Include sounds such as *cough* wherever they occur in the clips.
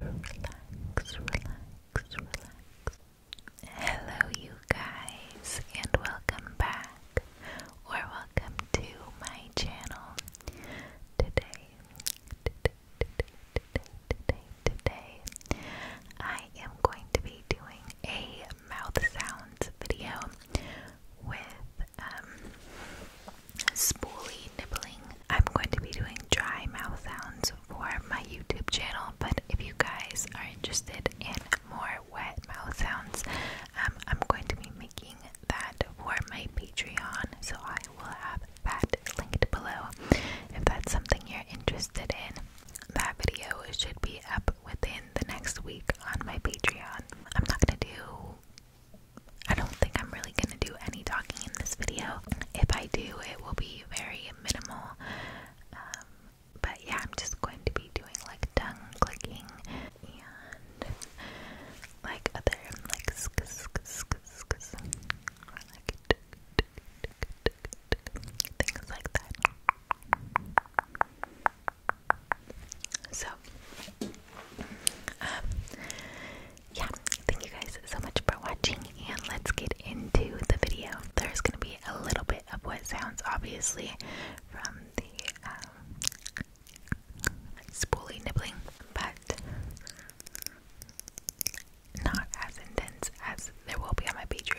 Relax, relax, relax. Hello, you guys, and welcome back or welcome to my channel. Today, today, today, I am going to be doing a mouth sounds video with um, spooly nibbling. I'm going to be doing dry mouth sounds for my YouTube channel, but if you guys are interested in more wet mouth sounds, um, I'm going to be making that for my Patreon, so I will have that linked below. If that's something you're interested in, that video should be up within the next week on my Patreon. I'm not gonna do I don't think I'm really gonna do any talking in this video. If I do, it will be very minimal. Um, but yeah, I'm just going to be doing like tongue clicking and like other like Things like that. So, um, yeah, thank you guys so much for watching, and let's get into the video. There's gonna be a little bit of what sounds obviously from the um, spoolie nibbling, but not as intense as there will be on my Patreon.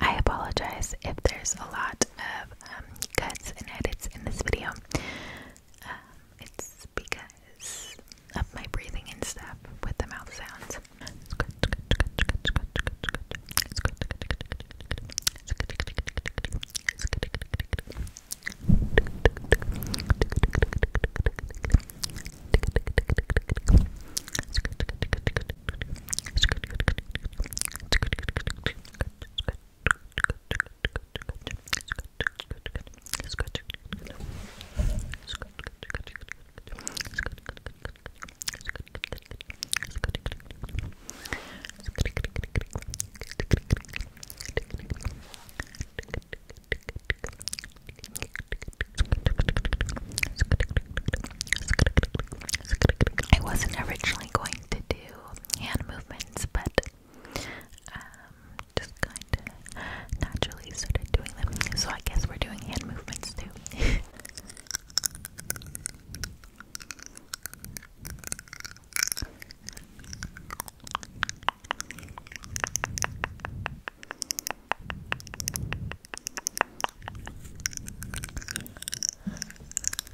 I apologize if there's a lot of um, cuts and edits in this video. Um, it's because of my breathing and stuff with the mouth sounds. I wasn't originally going to do hand movements, but um, just kind of naturally started doing them. So I guess we're doing hand movements too. *laughs*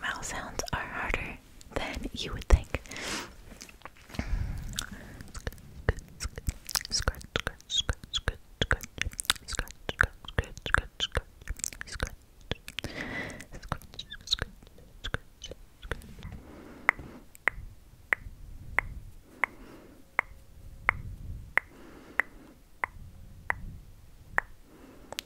Mouth sounds are harder than you would think.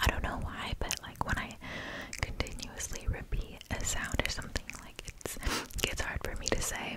I don't know why, but like when I continuously repeat a sound or something like it's it hard for me to say.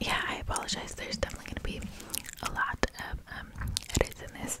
Yeah, I apologize. There's definitely going to be a lot of um, in this.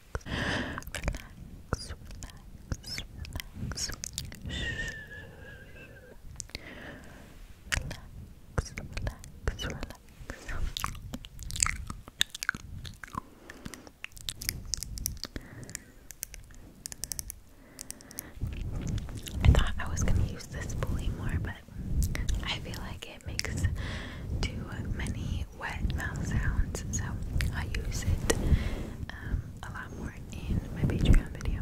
relax, relax. Shh. Relax, relax, relax. I thought I was going to use this pulley more, but I feel like it makes too many wet mouth sounds, so I use it um, a lot more in my Patreon video.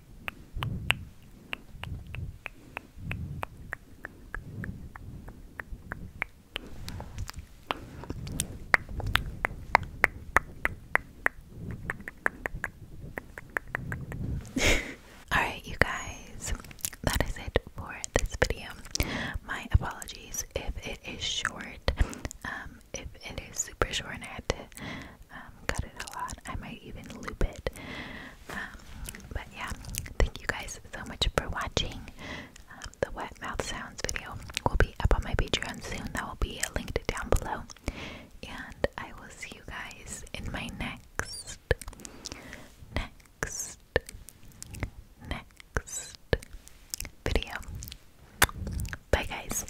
*laughs* Alright, you guys, that is it for this video. My apologies if it is short, um, if it is super short and I had to um, cut it a lot. I might even loop it. Um, but yeah, thank you guys so much for watching. Um, the wet mouth sounds video will be up on my Patreon soon. That will be linked down below. And I will see you guys in my next, next, next video. Bye, guys.